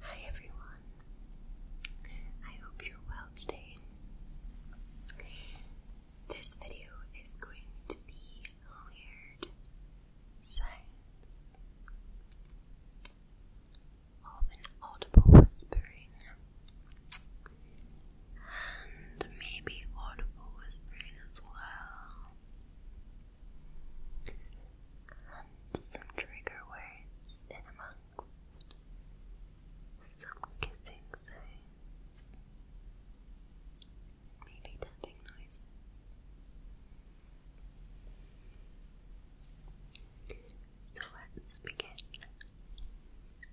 Hi everyone. I hope you're well today. This video is going to be weird science of an audible whispering and maybe audible whispering as well, and some trigger words in amongst some kissing sounds, maybe tapping noises. So let's begin.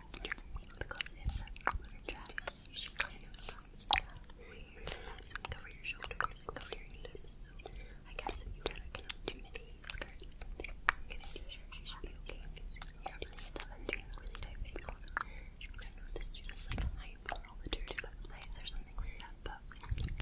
because it's a proper you should kind of weird um, and your shoulders and cover your knees. I guess if you gotta connect too many skirts and things and shirts you should be okay. You're doing stuff and doing really tight things. I don't know if this is just like a hype for all the tourist websites or something like that, but I'm pretty sure we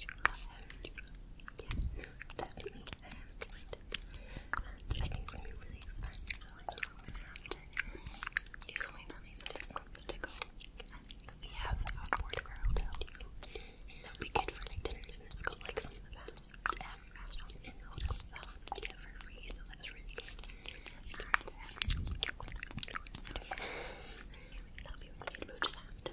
yeah, definitely. I think it's gonna be really expensive, so i gonna have to do some my mummies this month to go. We have a board grilled house, so that'll be good for like dinners, and it's got like some of the best um, restaurants in the hotel itself we get for free, so so, that really good. We'll just have to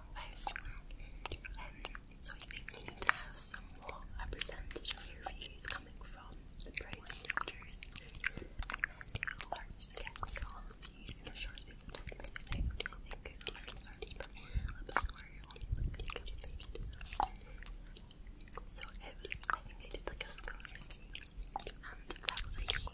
first so you may to have somewhat a percentage of your views coming from the price structures and then to get like views in a short space I think it can start to become the good pages so it was, I did like a score and that was like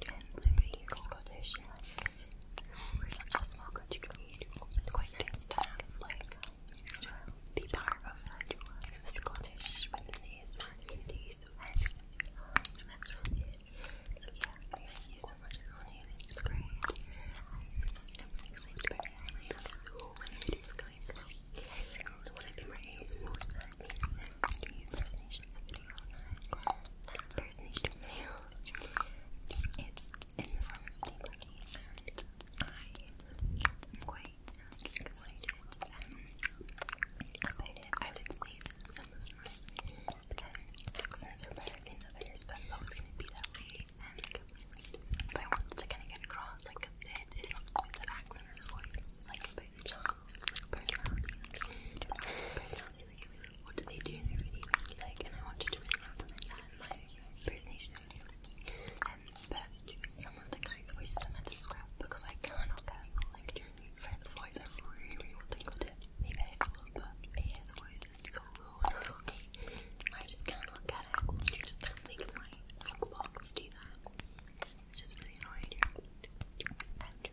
gently Scottish just small country community. It's quite nice like be part of kind of Scottish Lebanese community. that's really good. So yeah, thank you so much for who subscribed. I'm really excited about it. I have so many videos coming out. So what i video. That video it's in the form of tea party, and I am quite excited um, about I would say some of my um, accents are better than others, but it's always going to be that way. And if I wanted to kind of get across, like, it's not the accent or the voice, like about the job, it's what do they do in their routines like and I want you to really implement that my impersonation video. Um, but some of the guys' voices I meant to scrap because I cannot get like Fred's voice I really, want to include it. Maybe but his voice is so low I just cannot get it. I just can't make my vocal do that. Which is really annoying. And, but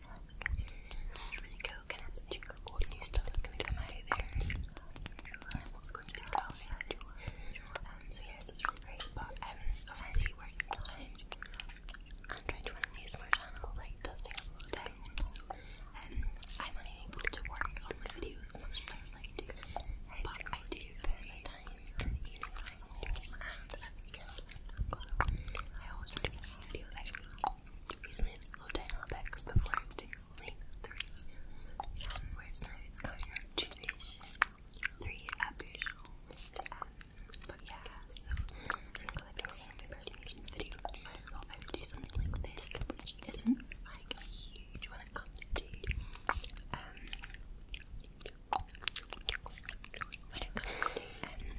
coconuts, jingle all new stuff that's going to come out there what's going to be out it so yeah, it's really great but obviously working behind and trying to run an channel like does take a lot time um, I'm unable to work on my videos as much as I like to but I do put some time I always try to make videos actually. Recently slowed down a bit because before I do three um, it's kind of two-ish, three epish but yeah, so I'm doing my personations I would do something like this which isn't like huge when it comes to when it comes to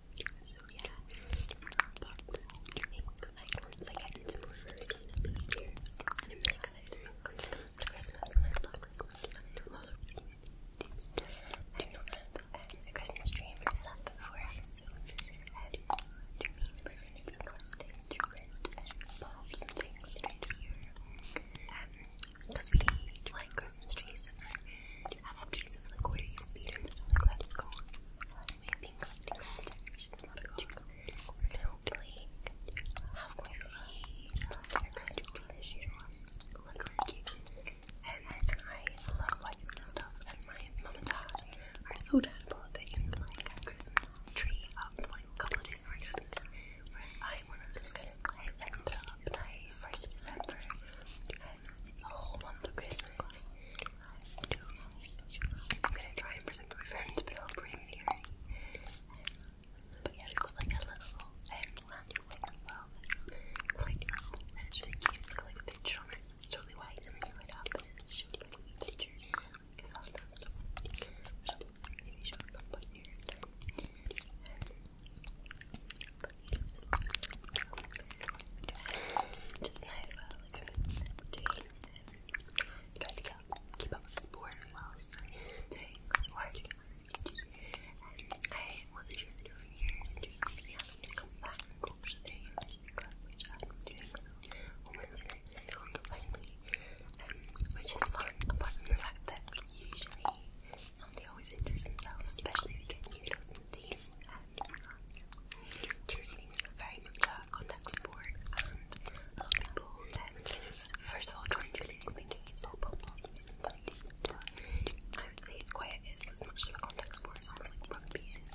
So yeah, but I like once I get into more i am really excited because to Christmas and I love Christmas. I'm I don't know what Christmas tree is up for us. I do want to meet. We're going to be collecting different bulbs and things right here. Um, because we like Christmas trees to have a piece of liquid in and stuff like that is gone. My finger We're gonna hopefully have quite a few crystals that you don't look really cute. I love lights and stuff, and my mom and dad are so down about like Christmas tree up like a couple of days before Christmas. Where I'm one of those kind of like let's first December. Um, a whole month of Christmas. I'm gonna try and present my friends, but it'll bring the earring. But yeah, it got like a little um, landing as well. That's quite and it's really cute. It's got like a picture on it's totally white. And then you up and it shows like pictures. Like stuff. maybe show at some point near just nice while uh, to keep up with sport whilst I'm doing sport. And I wasn't sure and recently having to come back and I'm doing so on Wednesday nights and Sunday which is fun, apart from the fact that usually somebody always injures themselves, especially if you get new team. Tuning in is very much a contact sport, and a lot of people, um, first of all, trying to lean thinking it's and I would say it's quite, as much of a contact sport as almost like rugby is.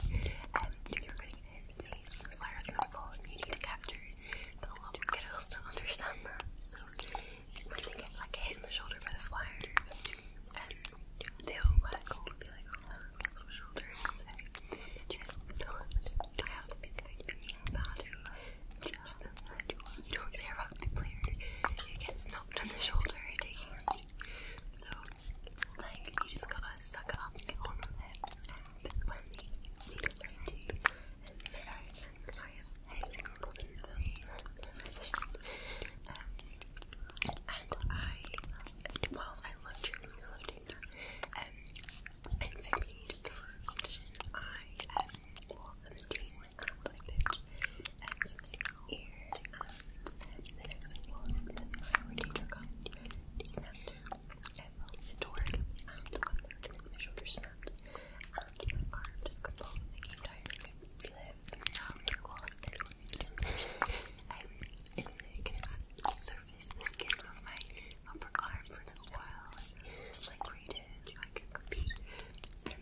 Um, you're going to the face, the flyer is going to fall, and you need to capture it, but a lot don't understand that. So, when they get like hit in the shoulder by the flyer, they will like go and be like, oh, my muscle shoulder and say, do you guys have to think you? Just them that you want. You don't care about the player. You get snubbed on the shoulder and taking a seat. So, like, you just gotta suck it up and get on with it. And when they decide to and say, alright, have to take in the films, and I, whilst I love cheerleading, I and for just before a competition, I, um, was the dream and I picked um, something ear, and the next thing was that my ordainer snapped, um, the torn, my shoulders snapped, my arm just got pulled, and tired, i gloss that will make this I'm in the kind of surface the skin of my upper arm for a while. It's like where it is, I could compete. Um,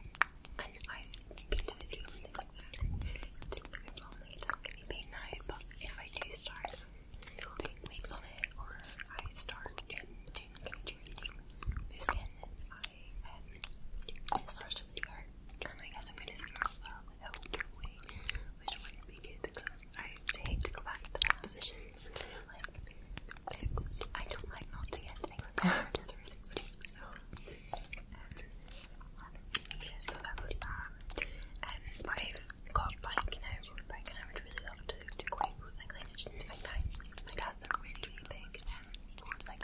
and I've been to physio and things like that. It didn't look well, like it doesn't give me pain now, but if I do start putting wigs on it or I start um, doing the kind of cheerleading move skin, I and it starts to hurt. I guess I'm gonna scare myself without doing which one to make because I hate to go back into that position. Like, I don't like not to get things like to so yeah, so that was that. And um, got bike now, road bike, and I would really love to do quite cycling. I just need to find time. My dad's are really, really and it's like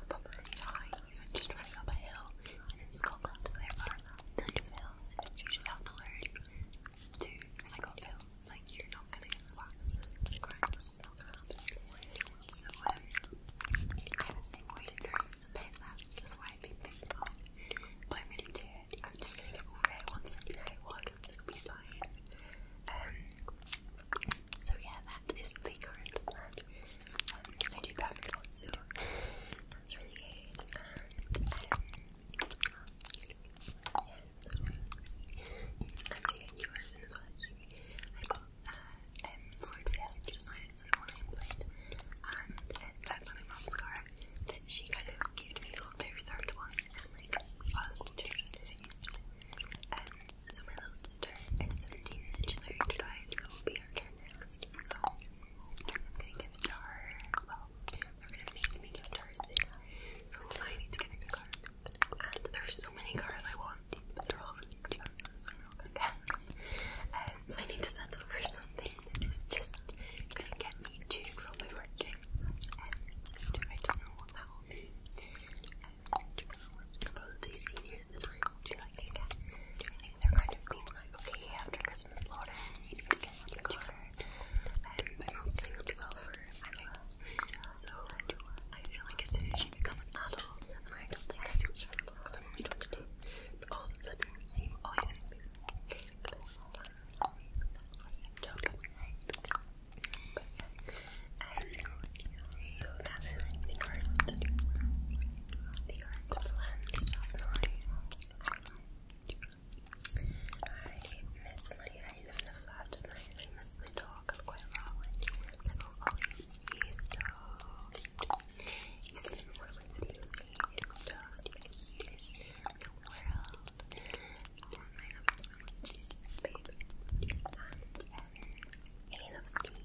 up on my high, even just running up a hill, and in Scotland there are hills, and you just have to learn to cycle hills, like you're not gonna get flat So, I was saying quite nervous about but I'm gonna do it, I'm just gonna get it once I get walk, and it'll be fine. Um, so yeah, that is the current plan. Um, I do that also. That's really good. And um, um, I'm taking new as well. I got uh, um, for exams, just when it's an online blend, and it's uh, my mom's car that she kind of gave me called their third one, and like us two um, so my little sister is 17 and she's learning to drive, so it'll be her turn next. I'm gonna give it to we're gonna make me give it to her So I need to get a new card. And there's so many cards I want, but they're all from YouTube, so I'm not gonna get them. Um, so I need to settle for something that is just gonna get me to from my working. Um, I don't know what that will be. Um, Probably senior at the Do you like it again? I think they're kind of cool. Like, okay, after Christmas, Lauren, you need to get a new car. Everybody else saves well for my life. So, I feel like as soon as become an adult, I don't think I do it because I'm only 22, but all of a sudden, it seems all so that is the art. The art blend is I miss my. I live in a I miss my dog quite a lot. Little He's so cute. He's been whirling videos. in the world. my god, so much. He's babe.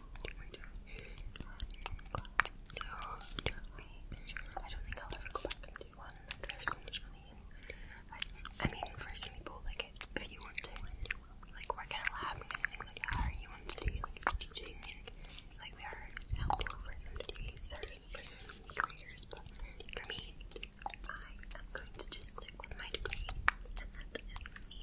So I don't think I'll ever go back and do one. There's so much I, mean, for some people, like if you want to, like work in a lab and things like that, or you want to do like like we are helpful for some to for careers. for me, I am going to just stick with my degree, and that is me.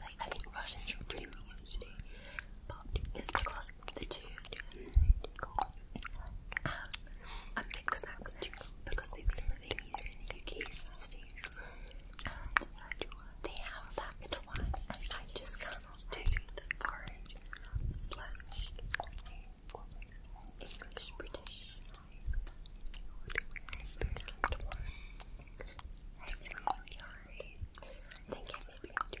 like I think not rush into really movies today, but it's because the two have a mixed accent because they've been living either in the UK or the States, they have that twang, and I just cannot do the foreign slash English British. I think I maybe do